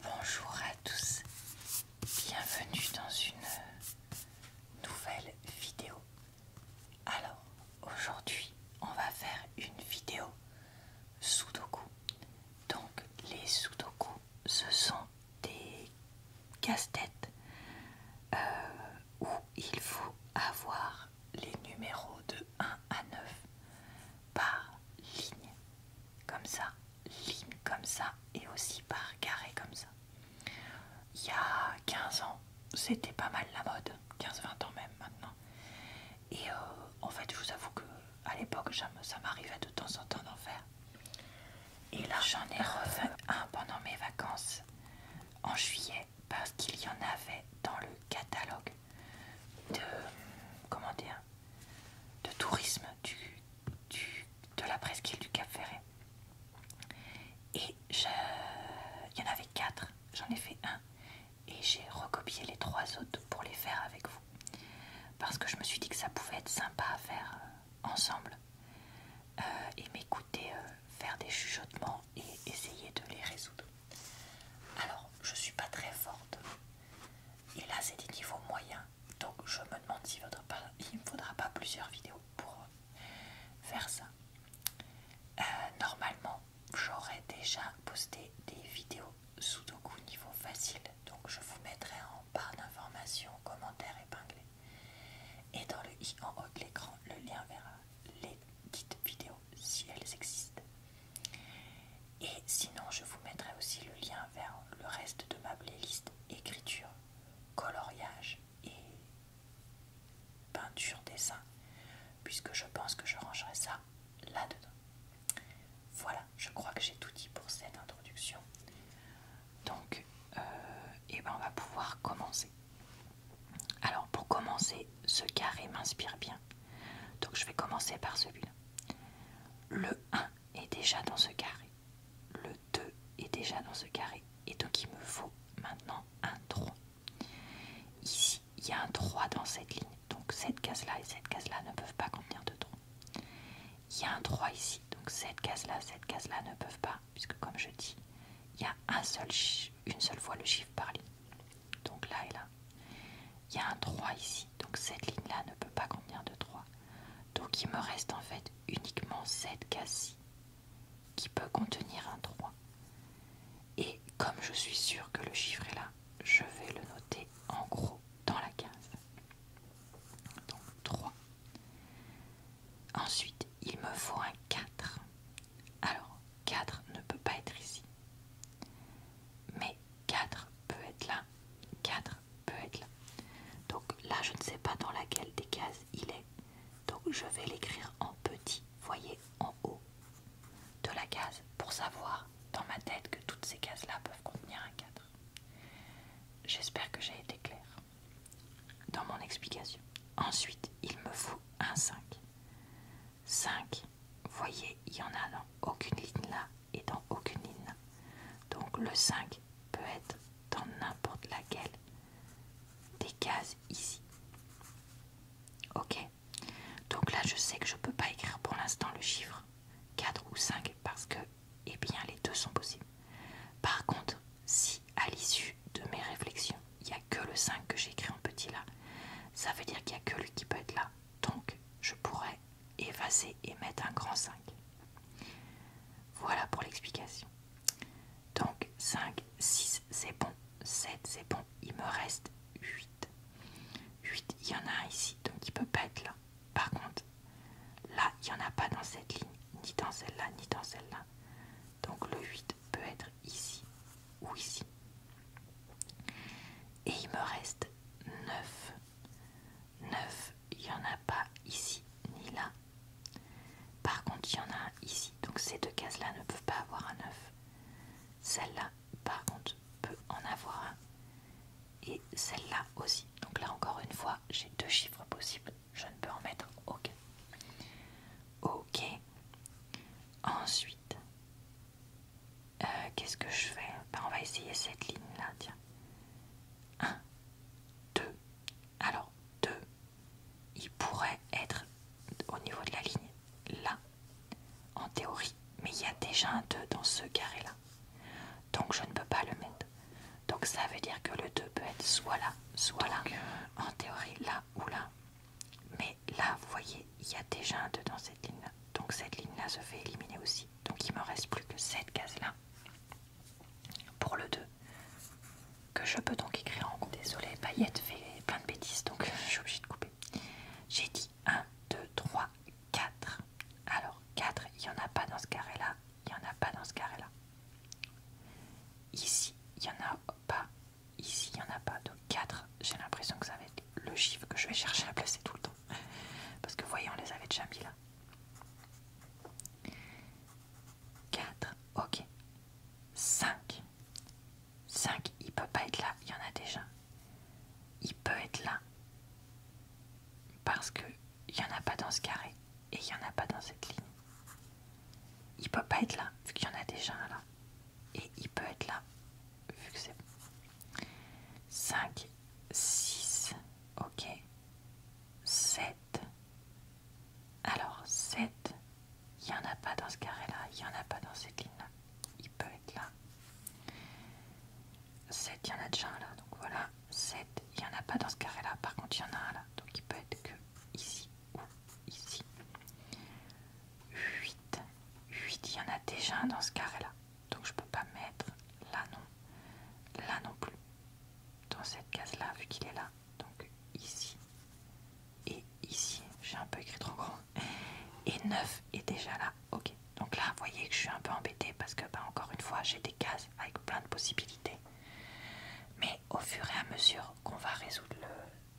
Bonjour à tous, bienvenue dans une nouvelle vidéo. Alors aujourd'hui on va faire une vidéo Sudoku. Donc les Sudoku ce sont des casse-têtes euh, où il faut avoir les numéros de 1 à 9 par ligne comme ça, ligne comme ça et aussi par carré comme ça. Il y a 15 ans, c'était pas mal la mode, 15-20 ans même maintenant. Et euh, en fait, je vous avoue que à l'époque, ça m'arrivait de temps en temps d'en faire. Et là, j'en ai revu un pendant mes vacances en juillet parce qu'il y en avait dans le catalogue de comment dire de tourisme de la presqu'île du Cap Ferret. Et il y en avait quatre, j'en ai fait un et j'ai recopié les trois autres pour les faire avec vous. Parce que je me suis dit que ça pouvait être sympa à faire euh, ensemble euh, et m'écouter euh, faire des chuchotements et essayer de les résoudre. Alors, je suis pas très forte et là, c'est des niveaux moyens. Donc, je me demande s'il ne me faudra pas plusieurs vidéos pour euh, faire ça. Euh, normalement, j'aurais déjà posté des vidéos Sudoku niveau facile. Donc, je vous mettrai en barre d'informations, commentaires épinglés. Et dans le i en haut de l'écran, le lien vers les dites vidéos si elles existent. Et sinon, je vous mettrai aussi le lien vers le reste de ma playlist écriture, coloriage et peinture, dessin, puisque je pense que je rangerai ça là-dedans. Voilà, je crois que j'ai tout dit pour cette introduction. Donc, et euh, eh ben on va pouvoir commencer. Alors, pour commencer, ce carré m'inspire bien. Donc, je vais commencer par celui-là. Le 1 est déjà dans ce carré. Le 2 est déjà dans ce carré. Et donc il me faut maintenant un 3. Ici, il y a un 3 dans cette ligne. Donc cette case-là et cette case-là ne peuvent pas contenir de 3. Il y a un 3 ici. Donc cette case-là, cette case-là ne peuvent pas. Puisque comme je dis, il y a une seule fois le chiffre par ligne. Donc là et là il y a un 3 ici, donc cette ligne-là ne peut pas contenir de 3. Donc il me reste en fait uniquement cette case-ci qui peut contenir un 3. Et comme je suis sûre que le chiffre est là, je vais le noter en gros dans la case. Donc 3. Ensuite, il me faut un 4. Alors, 4 ne peut pas être ici. Mais 4 peut être là. 4 peut être là. Donc là, je ne sais pas dans laquelle des cases il est. Donc je vais l'écrire en petit, voyez, en haut de la case, pour savoir dans ma tête que toutes ces cases-là peuvent contenir un 4. J'espère que j'ai été clair dans mon explication. Ensuite, il me faut un 5. 5. Voyez, il y en a dans aucune ligne là et dans aucune ligne là. Donc le 5 peut être dans n'importe laquelle des cases ici. Ok Donc là, je sais que je ne peux pas écrire pour l'instant le chiffre 4 ou 5 parce que, eh bien, les deux sont possibles. Par contre, si à l'issue de mes réflexions, il y que le 5 que j'ai écrit en petit là. Ça veut dire qu'il n'y a que lui qui peut être là. Donc, je pourrais effacer et mettre un grand 5. Voilà pour l'explication. Donc, 5, 6, c'est bon. 7, c'est bon. Il me reste 8. 8, il y en a un ici, donc il peut pas être là. Par contre, là, il n'y en a pas dans cette ligne, ni dans celle-là, ni dans celle-là. Donc, le 8 peut être ici ou ici. Et il me reste 9. 9, il n'y en a pas ici ni là. Par contre, il y en a ici. Donc ces deux cases-là ne peuvent pas avoir un 9. Celle-là, par contre, peut en avoir un. Et celle-là aussi. Donc là, encore une fois, j'ai deux chiffres possibles. Je ne peux en mettre aucun. Ok. Ensuite, euh, qu'est-ce que je fais ben, On va essayer cette ligne-là, tiens. 1, 2. Alors, 2, il pourrait être au niveau de la ligne, là, en théorie. Mais il y a déjà un 2 dans ce carré-là. Donc, je ne peux pas le mettre. Donc, ça veut dire que le 2 peut être soit là, soit là, euh, en théorie, là ou là. Mais là, vous voyez, il y a déjà un 2 dans cette ligne-là. Donc cette ligne-là se fait éliminer aussi. Donc il ne me reste plus que cette case-là pour le 2. Que je peux donc écrire en groupe. Désolée, paillette fait plein de bêtises, donc je suis obligée de couper. J'ai dit 1, 2, 3, 4. Alors 4, il n'y en a pas dans ce carré-là. Il n'y en a pas dans ce carré-là. Ici, il n'y en a pas. Ici, il n'y en a pas. Donc 4, j'ai l'impression que ça va être le chiffre que je vais chercher à placer tout le temps. Parce que voyez, on les avait déjà mis là. 4, ok. 5. 5, il peut pas être là, il y en a déjà. Il peut être là. Parce que il n'y en a pas dans ce carré. Et il n'y en a pas dans cette ligne. Il peut pas être là, vu qu'il y en a déjà un là et il peut être là, vu que c'est 5, 6, ok, 7. Alors 7, il n'y en a pas dans ce carré-là, il n'y en a pas dans cette ligne-là, il peut être là. 7, il y en a déjà là, donc voilà, 7, il n'y en a pas dans ce carré-là, par contre il y en a un là, donc il peut être que ici ou ici. 8. 8, il y en a déjà un dans ce carré-là. Donc je peux pas mettre là non. Là non plus. Dans cette case-là, vu qu'il est là. Donc ici. Et ici. J'ai un peu écrit trop grand. Et 9 est déjà là. Ok. Donc là, vous voyez que je suis un peu embêtée parce que, bah, encore une fois, j'ai des cases avec plein de possibilités. Mais au fur et à mesure qu'on va résoudre le,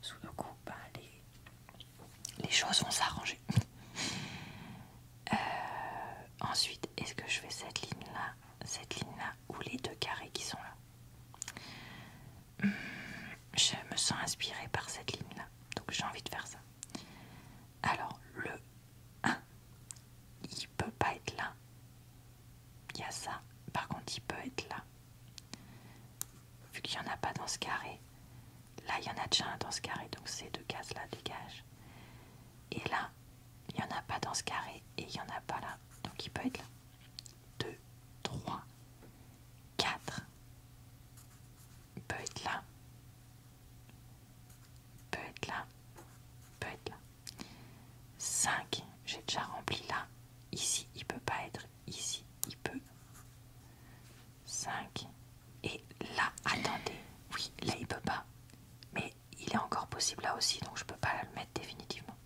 sous le coup, bah, les, choses vont s'arranger. Euh, ensuite, est-ce que je fais cette ligne-là, cette ligne-là ou les deux carrés qui sont là hmm, Je me sens inspirée par cette ligne-là, donc j'ai envie de faire ça. Alors, le 1, il peut pas être là, il y a ça. Par contre, il peut être là. Vu qu'il n'y en a pas dans ce carré. Là, il y en a déjà un dans ce carré, donc ces deux cases-là dégage Et là, il n'y en a pas dans ce carré et il n'y en a pas là. Donc il peut être là. 2, 3, 4. Il peut être là. Il peut être là. Il peut être là. 5. J'ai déjà rempli là. Ici, il peut pas être. Ici, il peut. 5. Et là, attendez. Oui, là, il peut pas. Mais il est encore possible là aussi, donc je peux pas le mettre définitivement.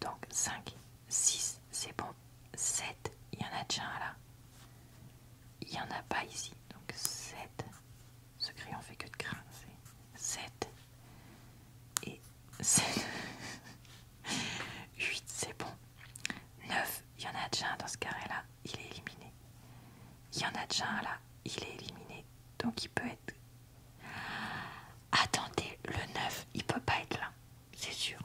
Donc 5, 6, c'est bon. 7, il y en a déjà là. Il n'y en a pas ici. Donc 7. Ce crayon fait que de grincer. 7. Et 8, c'est bon. 9, il y en a déjà un dans ce carré-là, il est éliminé. Il y en a déjà un là, il est éliminé. Donc il peut être... Attendez, le 9, il peut pas être là, c'est sûr.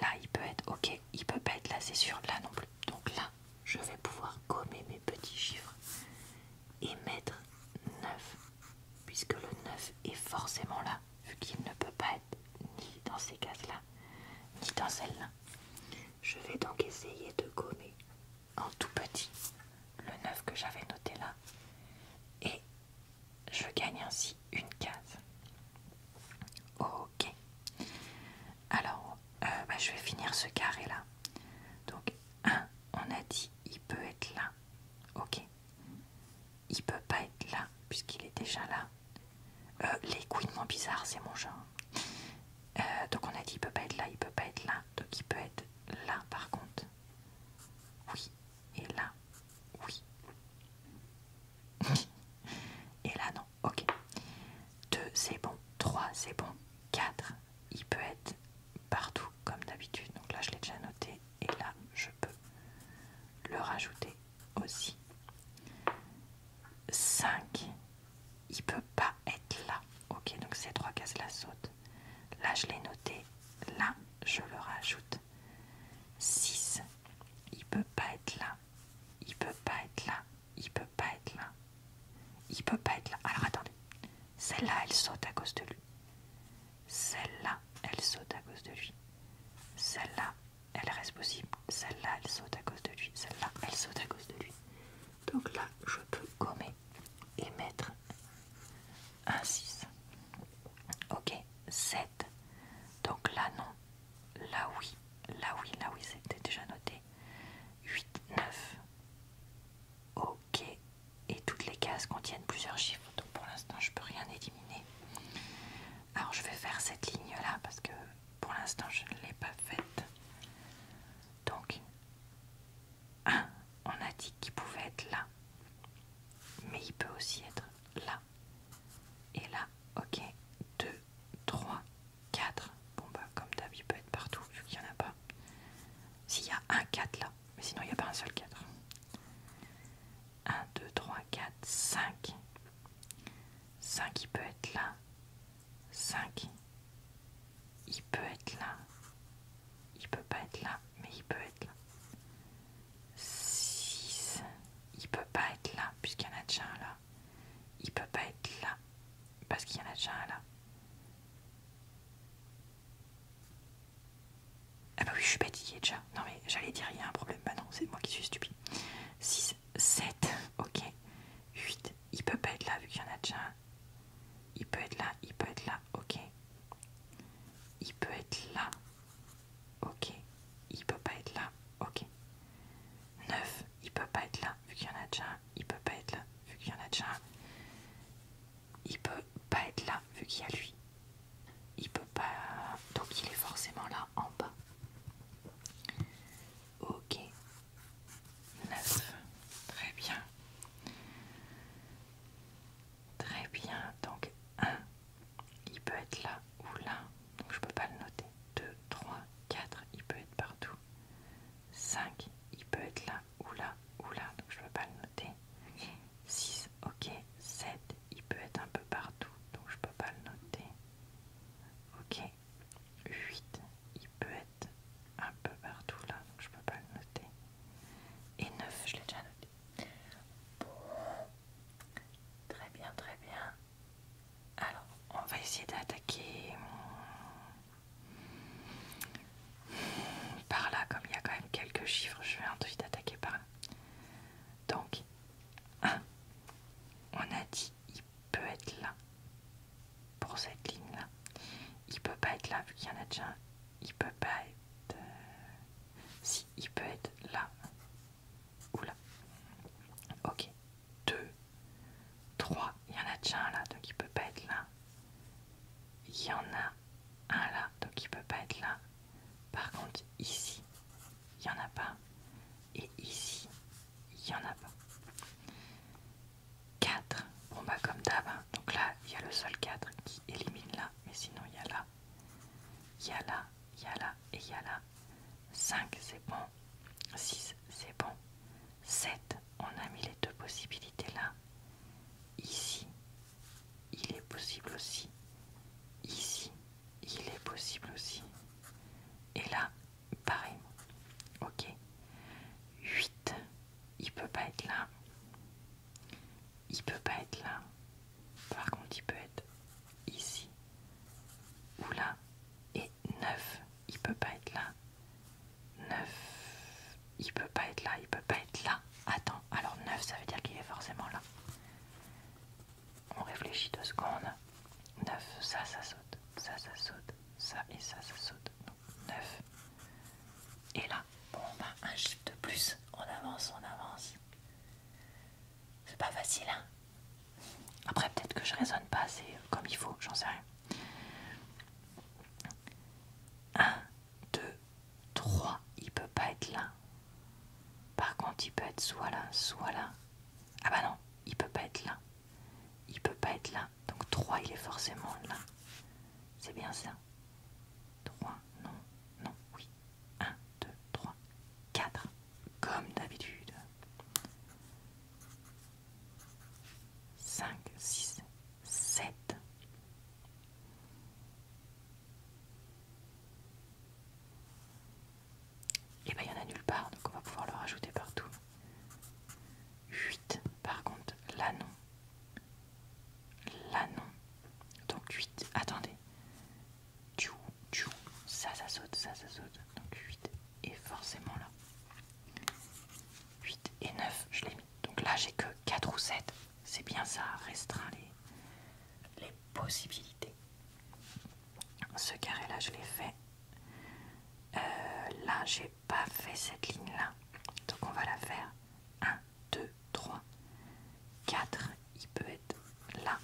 Là, il peut être... Ok, il peut pas être là, c'est sûr. Là non plus. Donc là, je vais pouvoir gommer mes petits chiffres et mettre 9, puisque le 9 est forcément là, vu qu'il ne peut pas être ni dans ces cases-là, ni dans celle-là. Je vais donc essayer de gommer en tout petit le 9 que j'avais noté là, et je gagne ainsi une case. Ok. Alors, euh, bah, je vais finir ce carré là. Donc, 1, on a dit, il peut être là. Ok il peut pas être là puisqu'il est déjà là. Euh, les couinements bizarres, c'est mon genre. Euh, donc on a dit il peut pas être là, il peut pas être là, donc il peut être là par contre. Oui, et là, oui. et là non, ok. 2 c'est bon, 3 c'est bon, 4 il peut être partout comme d'habitude. Donc là, je l'ai déjà noté et là, je peux le rajouter aussi. 5, il peut pas être là. Ok, donc ces trois cases là sautent. Là, je l'ai noté. Là, je le rajoute. 6, il peut pas être là. Il peut pas être là. Il peut pas être là. Il peut pas être là. Alors attendez. Celle-là, elle saute à cause de lui. Celle-là, elle saute à cause de lui. Celle-là, elle reste possible. Celle-là, elle saute à cause de lui. Celle-là, elle saute à cause de lui. Donc là, je peux gommer et mettre un 6. Ok, 7. Donc là, non. Là, oui. Là, oui, là, oui, c'était déjà noté. 8, 9. Oh, OK. Et toutes les cases contiennent plusieurs chiffres. Donc pour l'instant, je peux rien éliminer. Alors je vais faire cette ligne-là parce que pour l'instant, je ne l'ai pas faite. Donc, 1, on a dit qu'il pouvait être là. Mais il peut aussi être là. Et là, OK. 2, 3, 4. Bon, bah, comme d'hab, il peut être partout vu qu'il n'y en a pas. S'il y a un 4 là, mais sinon il n'y a pas un seul 4. 1, 2, 3, 4, 5. 5 il peut être là. 5. Il peut être là. Il peut pas être là, mais il peut être là. 6. Il peut pas être là, puisqu'il y en a déjà un là. Il peut pas être là, parce qu'il y en a déjà un là. Ah bah oui, je suis a déjà. Non mais j'allais dire il y a un problème. Bah non, c'est moi qui suis stupide. 6, 7, ok. 8, il peut pas être là vu qu'il y en a déjà Il peut être là, il peut être là, ok. Il peut être là, ok. Il peut pas être là, ok. 9, il peut pas être là vu qu'il y en a déjà un. Il peut pas être là vu qu'il y en a déjà il peut pas être là vu qu'il y a lui. Il peut pas. Donc il est forcément là en bas. Ok. 9. Très bien. Très bien. Donc 1. Il peut être là ou là. Donc je peux pas le noter. 2, 3, 4. Il peut être partout. 5. Il peut être là ou là, ou là, donc je ne peux pas le noter. 6, ok. 7, il peut être un peu partout, donc je ne peux pas le noter. Ok. 8, il peut être un peu partout là, donc je ne peux pas le noter. Et 9, je l'ai déjà noté. Très bien, très bien. Alors, on va essayer d'attaquer hmm, par là, comme il y a quand même quelques chiffres, je vais ensuite attaquer par là. Donc, 1. On a dit il peut être là pour cette ligne-là. Il peut pas être là vu qu'il y en a déjà un. Il peut pas être... Euh, si, il peut être là. Ou là. Ok. 2. 3. Il y en a déjà un là, donc il peut pas être là. Il y en a un là, donc il ne peut pas être là. Par contre, ici, il n'y en a pas. Et ici, il n'y en a pas. 4. on bah comme d'hab, hein. donc là, il y a le seul 4 qui élimine là, mais sinon il y a là. Il y a là, il y a là et il y a là. 5, c'est bon. 6, c'est bon. 7, on a mis les deux possibilités là. Ici, il est possible aussi. Ici, il est possible aussi. Et là, pareil. Ok. 8, il peut pas être là. Il peut pas être là. Par contre, il peut être ici ou là. Et 9, il peut pas être là. 9. Il peut pas être là, il peut pas être là. Attends, alors 9 ça veut dire qu'il est forcément là. On réfléchit deux secondes. 9, ça, ça saute. Ça, ça saute. Ça et ça, ça saute. 9. Et là, bon, bah, un chiffre de plus. On avance, on avance. C'est pas facile, hein. Après, peut-être que je raisonne pas assez comme il faut, j'en sais rien. 1, 2, 3, il peut pas être là. Par contre, il peut être soit là, soit là. Ah bah non, il peut pas être là. Il peut pas être là. Donc 3, il est forcément là. C'est bien ça. 3, non, non, oui. 1, 2, 3, 4. Comme d'habitude. 5, 6, 7. Et bien il n'y en a nulle part, donc on va pouvoir le rajouter partout. 8, par contre, là non. Là non. Donc 8, attendez. Ça, ça saute, ça, ça saute. Donc 8. Et forcément là. 8 et 9, je l'ai mis. Donc là, j'ai que 4 ou 7. C'est bien ça, restreint les, possibilités. Ce carré-là, je l'ai fait. Euh, là, j'ai pas fait cette ligne-là. Donc on va la faire. 1, 2, 3, 4. Il peut être là,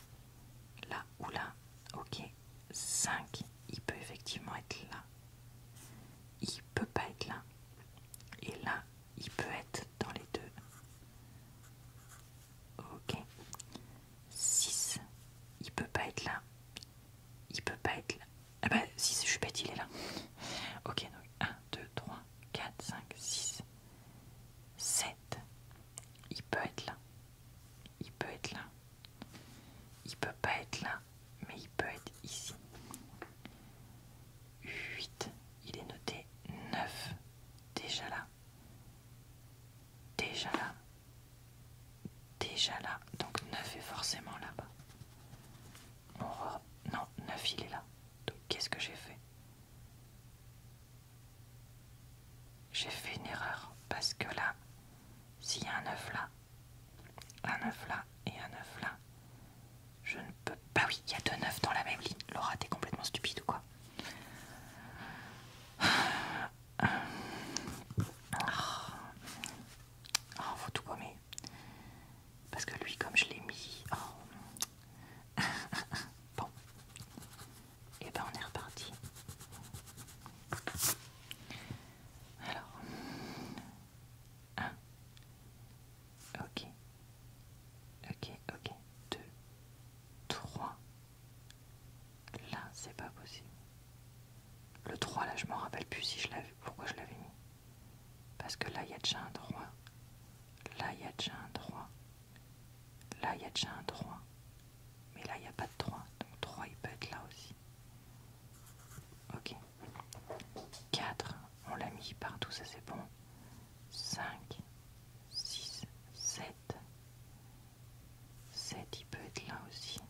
là ou là. Ok. 5, il peut effectivement être là. Il peut pas être là. Et là, il peut être dans les deux. Ok. 6, il peut pas être là. Il peut pas être là. Ah bah, 6, je suis bête, il est là. Ok, donc 1, 2, 3, 4, 5, 6, 7. Il peut être là il peut être là. Il peut pas être là, mais il peut être ici. 8, il est noté 9, déjà là. Déjà là. Déjà là. Donc 9 est forcément là-bas. Non, 9 il est là. Donc qu'est-ce que j'ai fait J'ai fait une erreur parce que là, s'il y a un œuf là, un œuf là et un œuf là, je ne peux. Bah oui, il y a deux œufs dans la même ligne. Laura, t'es complètement stupide ou quoi Oh, faut tout gommer. Parce que lui, comme je l'ai mis. Oh. bon. Et ben on est reparti. Alors. 1, Ok. Ok, ok. 2, 3. Là, c'est pas possible. Le 3 là, je m'en rappelle plus si je l'avais. Pourquoi je l'avais mis Parce que là, il y a déjà un droit. Là, il y a déjà un droit. Là, il y a déjà un droit. Mais là, il n'y a pas de 3. Donc 3, il peut être là aussi. Ok. 4, on l'a mis partout, ça c'est bon. 5, 6, 7. 7, il peut être là aussi.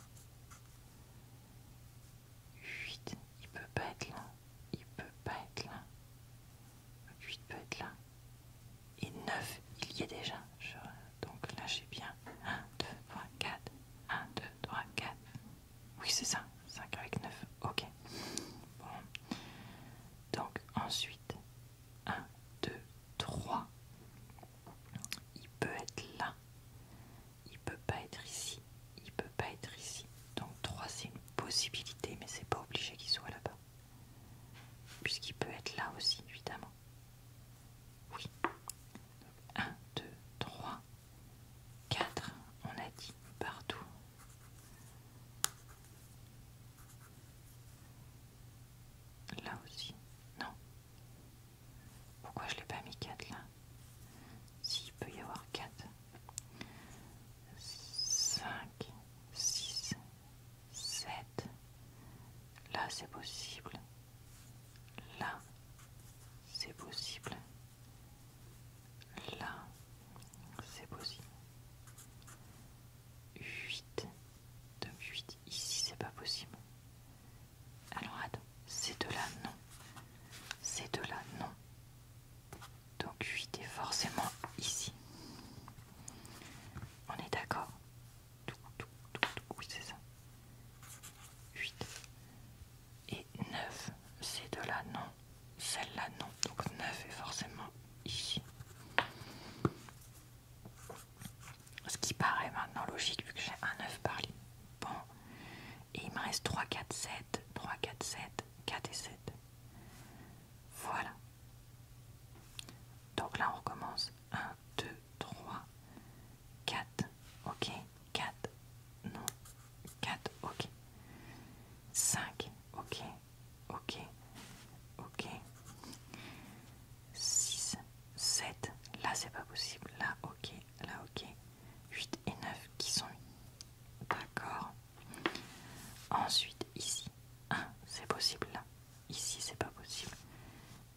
8, il peut pas être là. Il peut pas être là. 8 peut être là et 9, il y est déjà. donc là, j'ai bien 1, 2, 3, 4, 1, 2, 3, 4. Oui, c'est ça, 5 avec 9. Ok. Donc ensuite, 1, 2, 3. Il peut être là. Il peut pas être ici. Il peut pas être ici. Donc 3, c'est une possibilité, mais c'est pas obligé qu'il soit là-bas. Puisqu'il peut être là aussi, évidemment. Oui. 1, 2, 3, 4. On a dit partout. Là aussi. Non. Pourquoi je l'ai pas mis 4 là S'il peut y avoir 4. 5, 6, 7. Là, c'est possible. Là, c'est possible. Là, c'est possible. 8. Donc 8, ici, c'est pas possible. Alors, attends, c'est de là, non. C'est de là, non. Donc 8 est forcément ici. On est d'accord oui, c'est ça. 8 et 9. c'est de là non. Celle-là, non. Donc 9 est forcément ici. Ce qui paraît maintenant logique vu que j'ai un 9 par lit, Bon. Et il me reste 3, 4, 7. 3, 4, 7. 4 et 7. Voilà. Donc là, on recommence 1, 2, 3, 4, ok, 4, non, 4, ok, 5, ok, ok, ok, 6, 7, là c'est pas possible, là ok, là ok, 8 et 9 qui sont d'accord. Ensuite ici, 1, c'est possible là. Ici, c'est pas possible.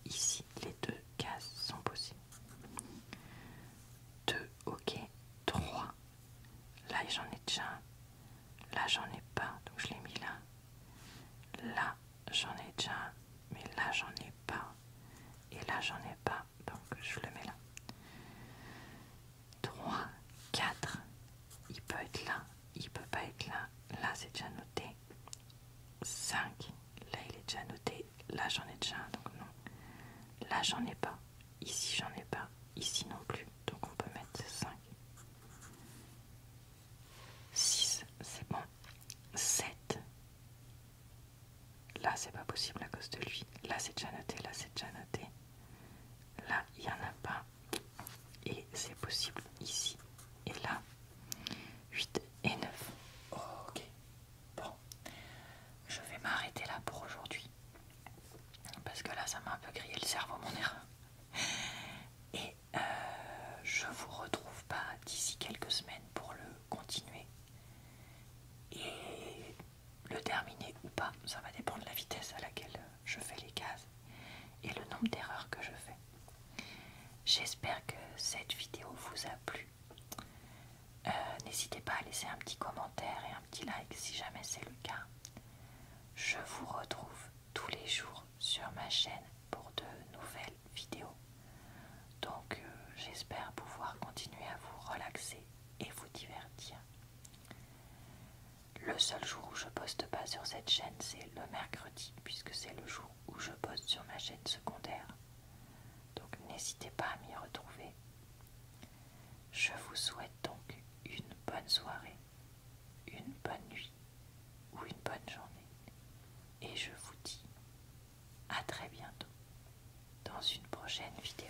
Ici, les deux cases sont possibles. 2, ok. 3. Là, j'en ai déjà un. Là, j'en ai pas, donc je l'ai mis là. Là, j'en ai déjà un, mais là, j'en ai pas. Et là, j'en ai pas, donc je le mets là. 3, 4 il peut être là, il peut pas être là, là c'est déjà noté. 5, là il est déjà noté, là j'en ai déjà un, donc non. Là j'en ai pas, ici j'en ai pas, ici non plus, donc on peut mettre 5. 6, c'est bon. 7, là c'est pas possible à cause de lui, là c'est déjà noté, là c'est déjà noté. Là, il n'y en a pas et c'est possible ici et là. 8 et 9. ok. Bon. Je vais m'arrêter là pour aujourd'hui. Parce que là, ça m'a un peu grillé le cerveau, mon erreur. Et euh, je vous retrouve pas d'ici quelques semaines pour le continuer. Et le terminer ou pas, ça va dépendre de la vitesse à laquelle je fais les cases et le nombre d'erreurs que je fais. J'espère que cette vidéo vous a plu. Euh, n'hésitez pas à laisser un petit commentaire et un petit like si jamais c'est le cas. Je vous retrouve tous les jours sur ma chaîne pour de nouvelles vidéos. Donc euh, j'espère pouvoir continuer à vous relaxer et vous divertir. Le seul jour où je poste pas sur cette chaîne, c'est le mercredi, puisque c'est le jour où je poste sur ma chaîne secondaire. Donc n'hésitez pas à m'y retrouver. Je vous souhaite donc une bonne soirée, une bonne nuit ou une bonne journée. Et je vous dis à très bientôt dans une prochaine vidéo.